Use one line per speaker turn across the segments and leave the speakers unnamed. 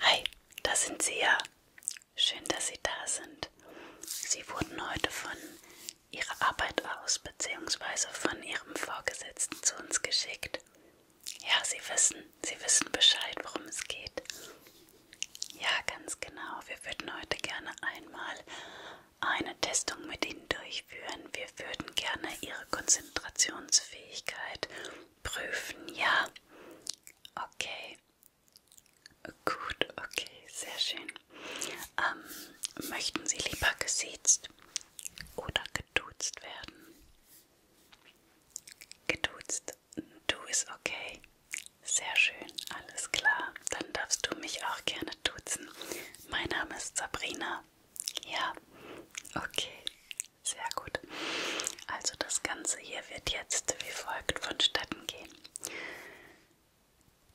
Hi, da sind Sie ja. Schön, dass Sie da sind. Sie wurden heute von Ihrer Arbeit aus bzw. von Ihrem Vorgesetzten zu uns geschickt. Ja, Sie wissen, Sie wissen Bescheid, worum es geht. Ja, ganz genau. Wir würden heute gerne einmal eine Testung mit Ihnen durchführen. Wir würden gerne Ihre Konzentrationsfähigkeit prüfen, ja? Okay. Gut, okay, sehr schön. Ähm, möchten Sie lieber gesiezt oder geduzt werden? Geduzt, du ist okay. Sehr schön, alles klar. Dann darfst du mich auch gerne duzen. Mein Name ist Sabrina. Ja, okay, sehr gut. Also das Ganze hier wird jetzt wie folgt vonstatten gehen.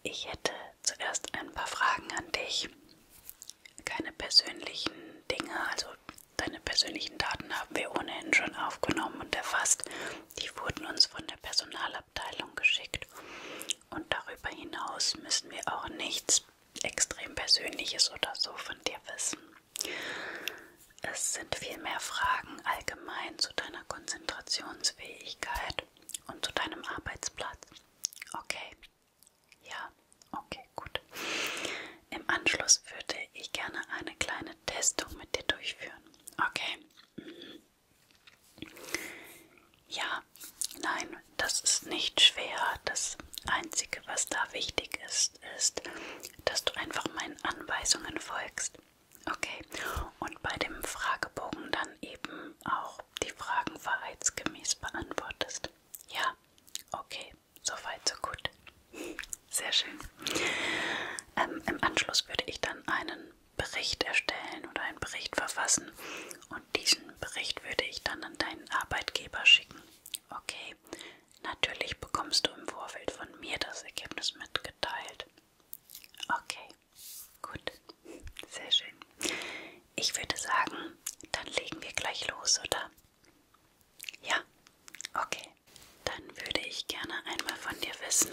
Ich hätte zuerst ein paar Fragen an dich. Keine persönlichen Dinge, also deine persönlichen Daten haben wir ohnehin schon aufgenommen und erfasst. Die wurden uns von der Personalabteilung geschickt. Und darüber hinaus müssen wir auch nichts extrem Persönliches oder so von dir wissen. Es sind viel mehr Fragen allgemein zu deiner Konzentrationsfähigkeit und zu deinem Arbeitsplatz. Okay. Ja, okay, gut. Im Anschluss würde ich gerne eine kleine Testung mit dir durchführen. Okay. Mhm. Ja, nein, das ist nicht schwer. Das Einzige, was da wichtig ist, machst, ist, dass du einfach meinen Anweisungen folgst. Okay, und bei dem Fragebogen dann eben auch die Fragen wahrheitsgemäß beantwortest. Ja, okay, soweit, so gut. Sehr schön. Ähm, Im Anschluss würde ich dann einen Bericht erstellen oder einen Bericht verfassen und diesen Bericht würde ich dann an deinen Arbeitgeber schicken. Okay, Juli. Natürlich bekommst du im Vorfeld von mir das Ergebnis mitgeteilt. Okay, gut, sehr schön. Ich würde sagen, dann legen wir gleich los, oder? Ja, okay. Dann würde ich gerne einmal von dir wissen,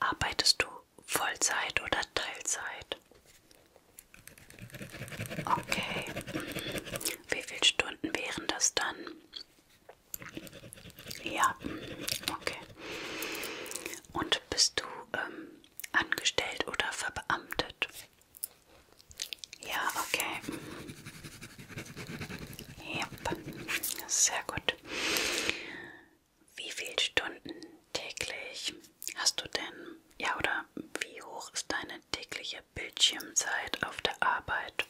arbeitest du Vollzeit oder Teilzeit? Okay. Wie viele Stunden wären das dann? Ja, okay. Und bist du ähm, angestellt oder verbeamtet? Ja, okay. Yep. Sehr gut. Wie viele Stunden täglich hast du denn? Ja, oder wie hoch ist deine tägliche ihr Bildschirmzeit auf der Arbeit?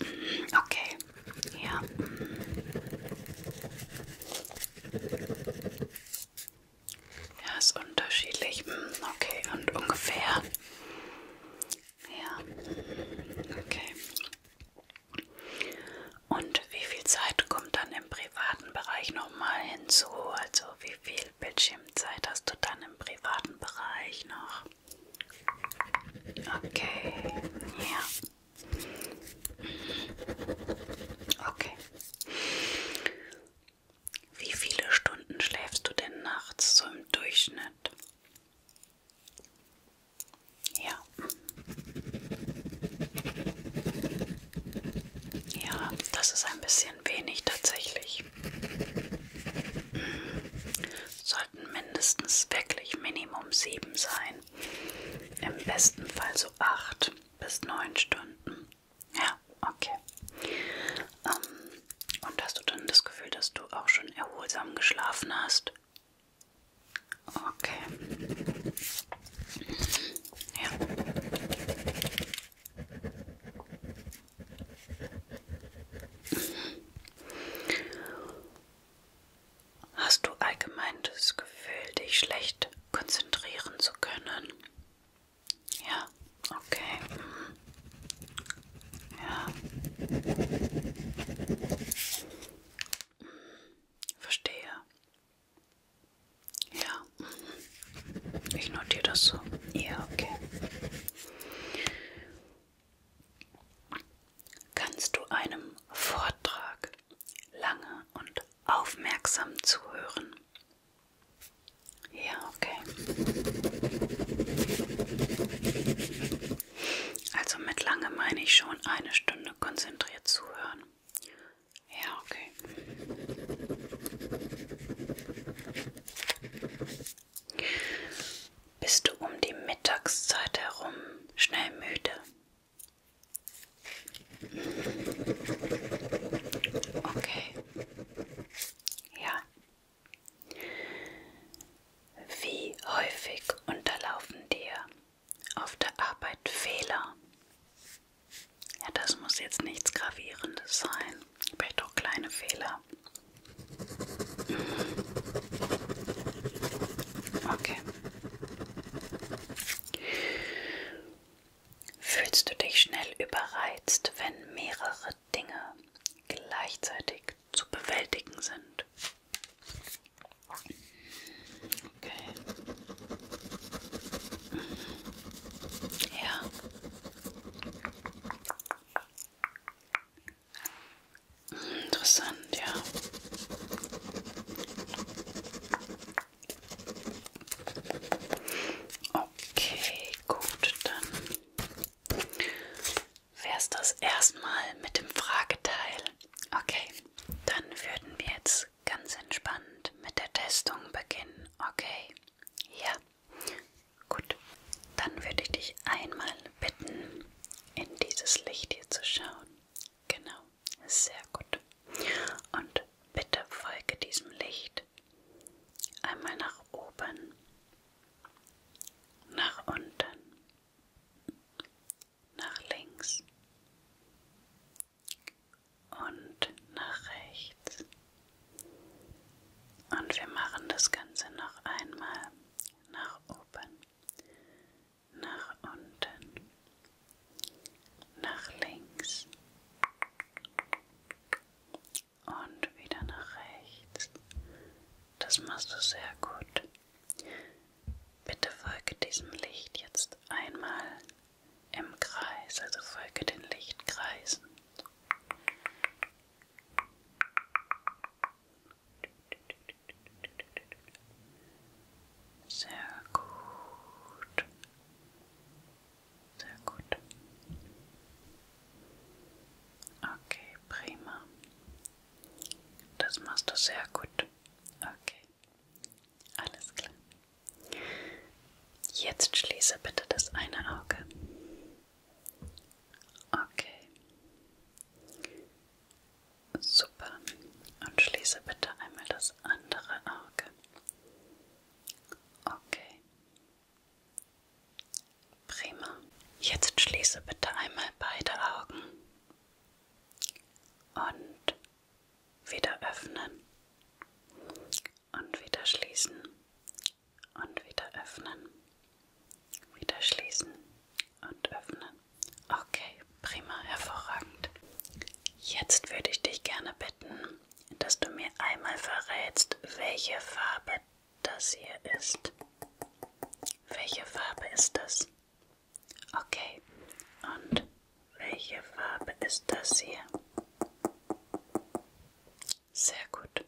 Okay, ja. Ja, ist unterschiedlich. Hm, okay, und ungefähr. Ja, okay. Und wie viel Zeit kommt dann im privaten Bereich nochmal hinzu? Also wie viel Bildschirmzeit hast du dann im privaten Bereich noch. Okay, ja. Okay. Wie viele Stunden schläfst du denn nachts so im Durchschnitt? Ja. Ja, das ist ein bisschen bisschen wenig tatsächlich. Sollten mindestens wirklich Minimum sieben sein. Im besten Fall so acht bis neun Stunden. Ja, okay. Ähm, und hast du dann das Gefühl, dass du auch schon erholsam geschlafen hast? Okay. Ja. Hast du allgemein das Gefühl, dich schlecht konzentrieren zu können? Ja, okay. Ja. Verstehe. Ja. Ich notiere das so. Ja, okay kannst du einem Vortrag lange und aufmerksam zuhören. Ja, okay. Also mit lange meine ich schon eine Stunde konzentriert zuhören. Ja, okay. Bist du um die Mittagszeit herum schnell müde? Okay. Ja. Wie häufig unterlaufen dir auf der Arbeit Fehler? Ja, das muss jetzt nichts Gravierendes sein. Vielleicht auch kleine Fehler. Okay. Fühlst du dich schnell überreizt, wenn mehrere Dinge gleichzeitig zu bewältigen sind? Okay. Ja. Interessant, ja. Okay, gut, dann wäre es das erstmal mit dem Frageteil. Okay, dann würden wir jetzt ganz entspannt mit der Testung beginnen. Okay, ja. Gut, dann würde ich dich einmal bitten, in dieses Licht hier zu schauen. Genau, sehr gut. Und bitte folge diesem Licht einmal nach oben, nach unten, nach links und nach rechts. Und wir machen das Ganze noch einmal nach oben, nach unten, nach links und wieder nach rechts. Das machst du sehr gut. Bitte folge diesem Licht jetzt einmal im Kreis, also folge den Lichtkreisen. Sehr gut. Sehr gut. Okay, prima. Das machst du sehr gut. Okay. Alles klar. Jetzt schließe bitte das eine Auge. Okay. Super. Und schließe bitte einmal das andere Auge. Okay. Prima. Jetzt schließe bitte einmal beide Augen. Und wieder öffnen. Und wieder schließen und wieder öffnen. Wieder schließen und öffnen. Okay, prima, hervorragend. Jetzt würde ich dich gerne bitten, dass du mir einmal verrätst, welche Farbe das hier ist. Welche Farbe ist das? Okay. Und welche Farbe ist das hier? Sehr gut.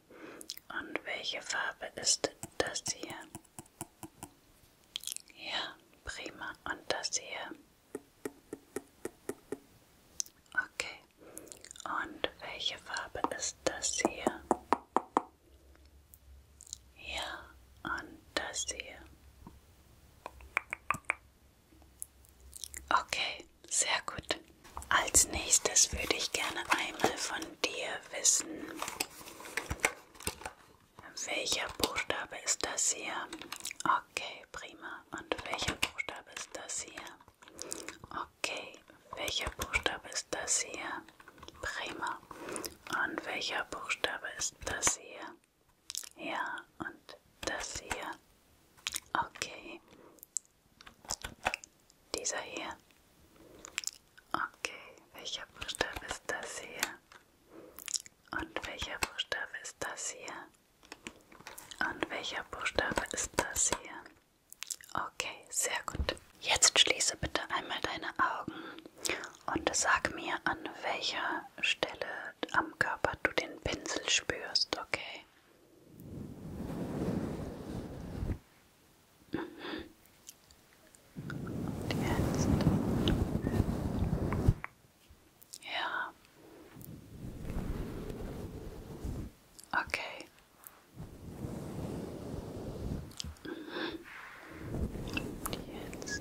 Und welche Farbe ist das hier? Ja, prima. Und das hier? Okay. Und welche Farbe ist das hier? Ja, und das hier. Okay, sehr gut. Als nächstes würde ich gerne einmal von dir wissen, welcher Buchstabe ist das hier? Okay, prima. Und welcher Buchstabe ist das hier? Okay, welcher Buchstabe ist das hier? Prima. Und welcher Buchstabe ist das hier? Ja, und das hier. Okay, dieser hier. Okay, welcher Buchstabe ist das hier? Und welcher Buchstabe ist das hier? Und welcher Buchstabe ist das hier? Okay, sehr gut. Jetzt schließe bitte einmal deine Augen und sag mir, an welcher Stelle am Körper du den Pinsel spürst, okay? Und jetzt. Okay. Und jetzt.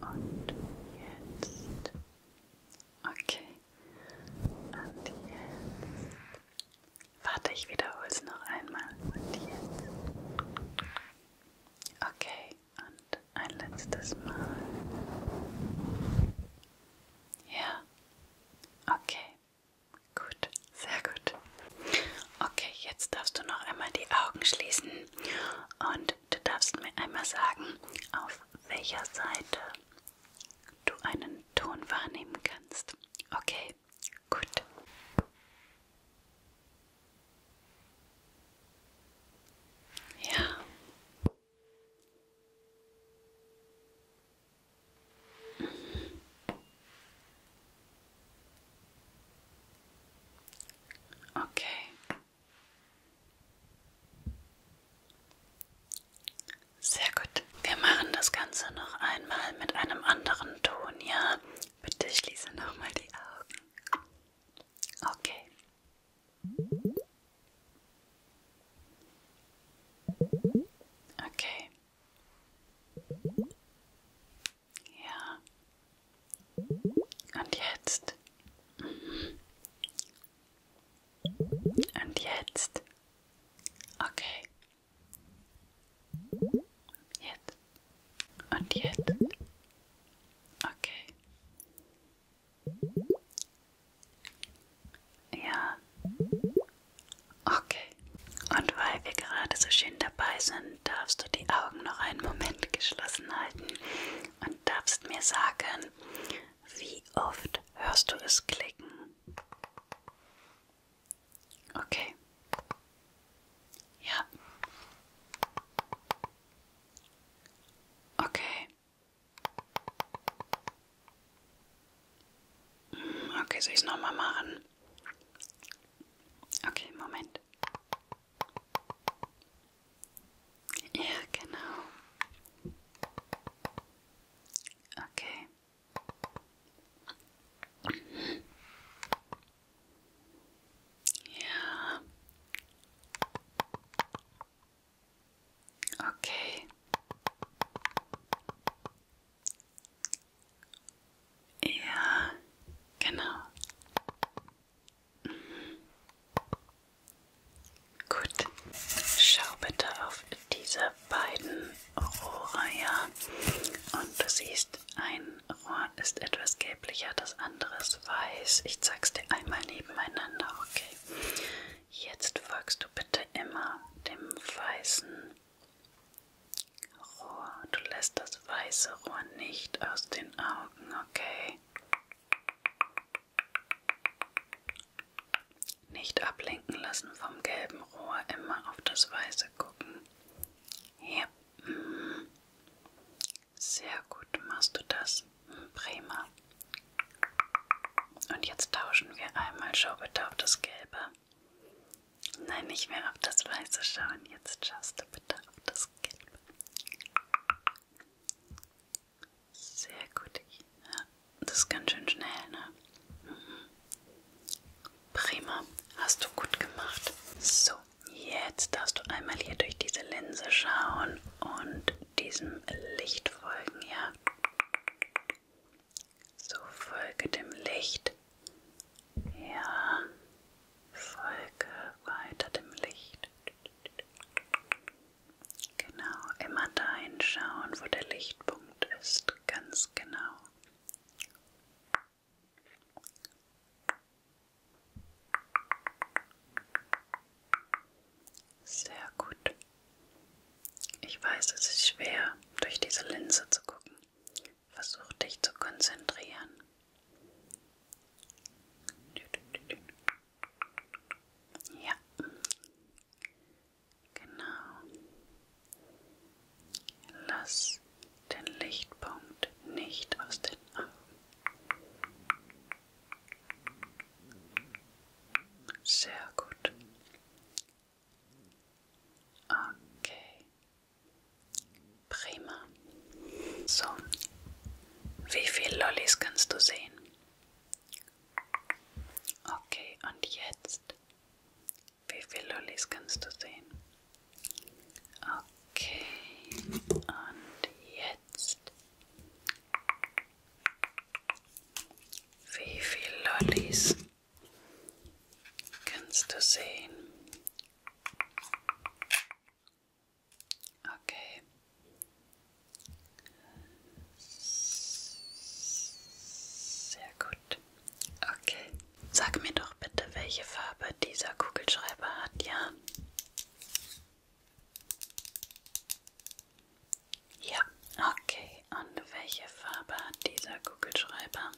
Und Okay. Und jetzt. Warte, ich wiederhole es noch einmal. Und jetzt. Okay, und ein letztes Mal. Ja. Okay. Gut, sehr gut. Okay, jetzt darfst du noch einmal die Augen schließen und du darfst mir einmal sagen, auf welcher Seite du einen Ton wahrnehmen kannst. Okay, gut. Ja. Mhm. Okay. Sehr gut. Wir machen das Ganze noch einmal mit einem anderen Ton, ja? Bitte schließe nochmal die Augen. Okay. Okay. Ja. Und jetzt. Mhm. Und jetzt. Okay. Jetzt. Und jetzt. Okay. Ja. Okay. Und weil wir gerade so schön dabei sind, darfst du die Augen noch einen Moment geschlossen halten und darfst mir sagen, wie oft hörst du es klicken? Okay. Ja. Okay. Hm, okay, soll ich es nochmal machen? Okay, Moment. Ja, genau. Okay. Ja. Okay. Ja, genau. Mhm. Gut. Schau bitte auf dieser beiden Rohrreiher. Und du siehst, ein Rohr ist etwas gelblicher, das andere ist weiß. Ich zeig's dir einmal nebeneinander, okay? Jetzt folgst du bitte immer dem weißen Rohr. Du lässt das weiße Rohr nicht aus den Augen, okay? Nicht ablenken lassen vom gelben Rohr, immer auf das Weiße gucken. Ja. Sehr gut machst du das. Prima. Und jetzt tauschen wir einmal. Schau bitte auf das Gelbe. Nein, nicht mehr auf das Weiße schauen. Jetzt schaust du bitte auf das Gelbe. Sehr gut. Ja. Das ist ganz schön schnell, ne? Mhm. Prima. Hast du gut gemacht. So, jetzt darfst du einmal hier durch diese Linse schauen und diesem Licht folgen, ja? So, folge dem Licht. Ja, folge weiter dem Licht. Genau, immer dahin schauen, wo der Lichtpunkt ist. Ganz genau. Sehr gut. Ich weiß, es ist schwer, durch diese Linse zu gucken. Versuch dich zu konzentrieren. Ja. Genau. Lass den Lichtpunkt nicht aus den Augen. Sehr gut. Okay. Prima. So. Wie viele Lollis kannst du sehen? Okay, und jetzt wie viele Lollis kannst du sehen? Okay, und jetzt. Wie viele Lollis kannst du sehen? Okay. Sehr gut. Okay. Sag mir doch bitte, welche Farbe dieser Kugelschreiber hat, ja? Ja, okay. Und welche Farbe hat dieser Kugelschreiber?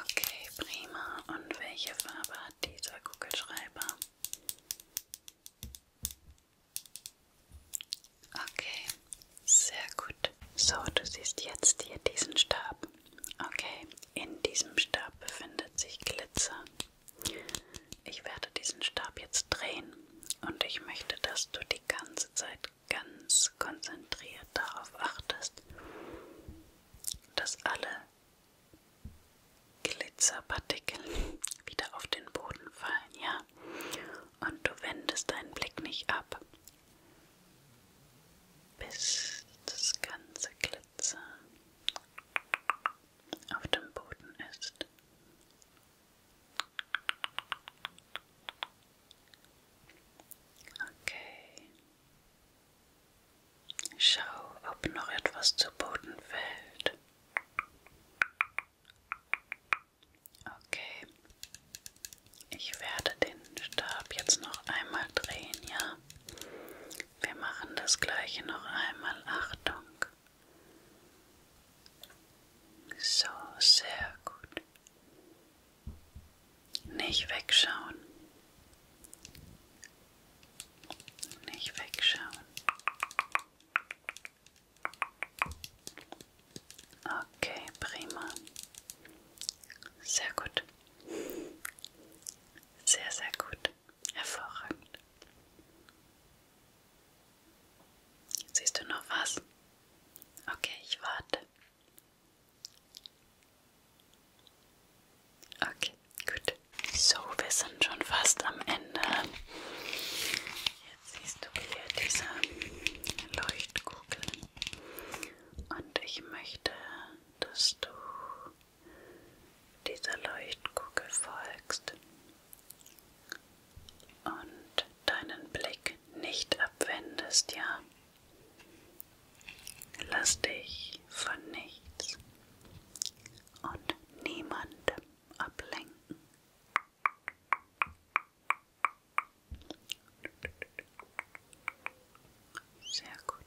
Okay, prima. Und welche Farbe hat dieser Kugelschreiber? Okay, sehr gut. So, du siehst jetzt hier diesen Stab. Okay, in diesem Stab befindet sich Glitzer. Ich werde diesen Stab jetzt drehen und ich möchte, dass du die ganze Zeit ganz konzentriert darauf achtest, dass alle Glitzerpartikel wieder auf den Boden fallen, ja? und du wendest deinen Blick nicht ab, bis das ganze Glitzer auf dem Boden ist. Okay. Schau, ob noch etwas zu Boden fällt. Okay. Ich werde den Stab jetzt noch einmal drehen, ja? Wir machen das gleiche noch einmal. Achtung. So, sehr gut. Nicht wegschauen. Nicht wegschauen. Okay, prima. Sehr gut. Sehr, sehr gut. Hervorragend. Siehst du noch was? Okay, ich warte. Okay, gut. So, wir sind schon fast am Ende. Jetzt siehst du hier diese Leuchtkugel. Und ich möchte, dass du dieser Leuchtkugel folgst und deinen Blick nicht abwendest, ja? Lass dich von nichts und niemandem ablenken. Sehr gut.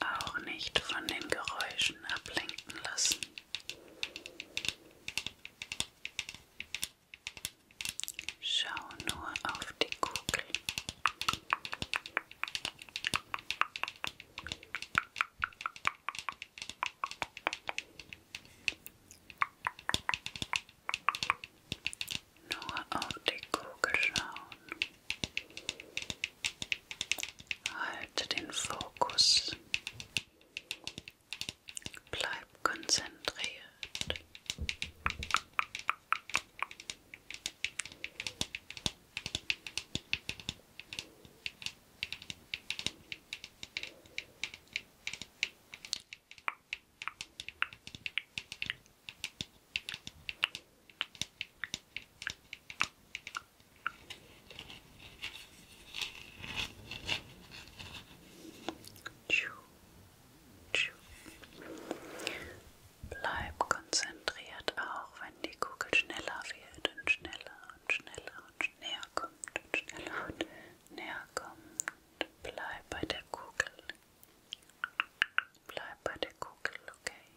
Auch nicht von den Geräuschen ablenken lassen. Schau nur auf die Kugel. Nur auf die Kugel schauen. Halte den Fokus Bleib konzentriert. Bleib konzentriert, auch wenn die Kugel schneller wird und schneller und schneller und näher kommt und schneller und näher kommt. Bleib bei der Kugel. Bleib bei der Kugel, okay?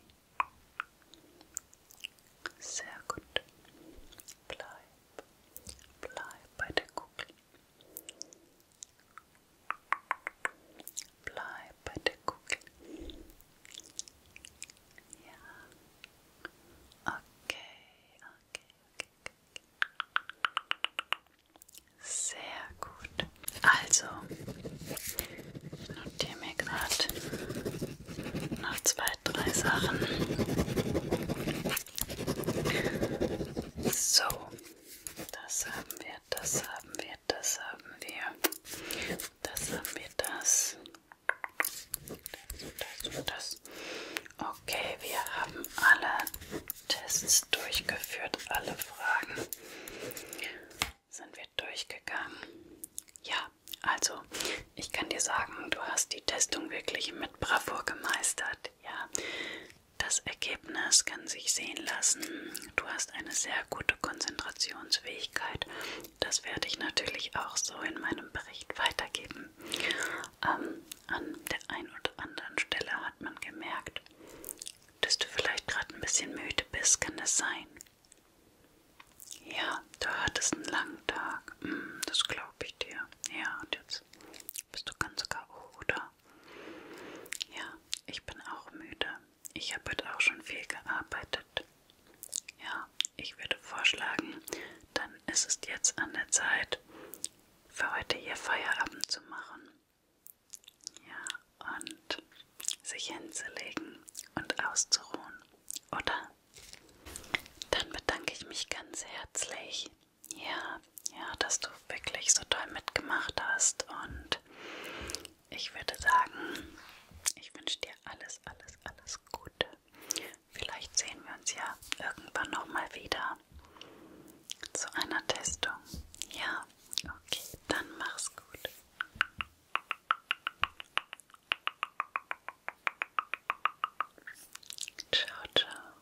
Sehr gut. Bleib. Bleib bei der Kugel. Bleib bei der Kugel. Ja. Okay, okay, okay, okay. Sehr gut. Also, notiere mir gerade noch zwei, drei Sachen. So, das haben wir, das haben wir, das haben wir. Das haben wir, das. Das und das und das. Okay, wir haben alle Tests durchgeführt, alle Fragen sind wir durchgegangen. Ja, also ich kann dir sagen, du hast die Testung wirklich mit Bravour gemeistert. Ja, das Ergebnis kann sich sehen lassen. Du hast eine sehr gute Konzentrationsfähigkeit. Das werde ich natürlich auch so in meinem Bericht weitergeben. Ähm, an der einen oder anderen Stelle hat man gemerkt, dass du vielleicht gerade ein bisschen müde bist. Kann das sein? Ja, du hattest einen langen Tag. Mm, das glaube ich dir. Ja, und jetzt bist du ganz K.O., oder? Ja, ich bin auch müde. Ich habe heute auch schon viel gearbeitet. Ja, ich würde vorschlagen, dann ist es jetzt an der Zeit, für heute hier Feierabend zu machen. Ja, und sich hinzulegen und auszuruhen, oder? Dann bedanke ich mich ganz herzlich ja, ja, dass du wirklich so toll mitgemacht hast und ich würde sagen, ich wünsche dir alles, alles, alles Gute. Vielleicht sehen wir uns ja irgendwann nochmal wieder zu einer Testung. Ja, okay, dann mach's gut. Ciao, ciao.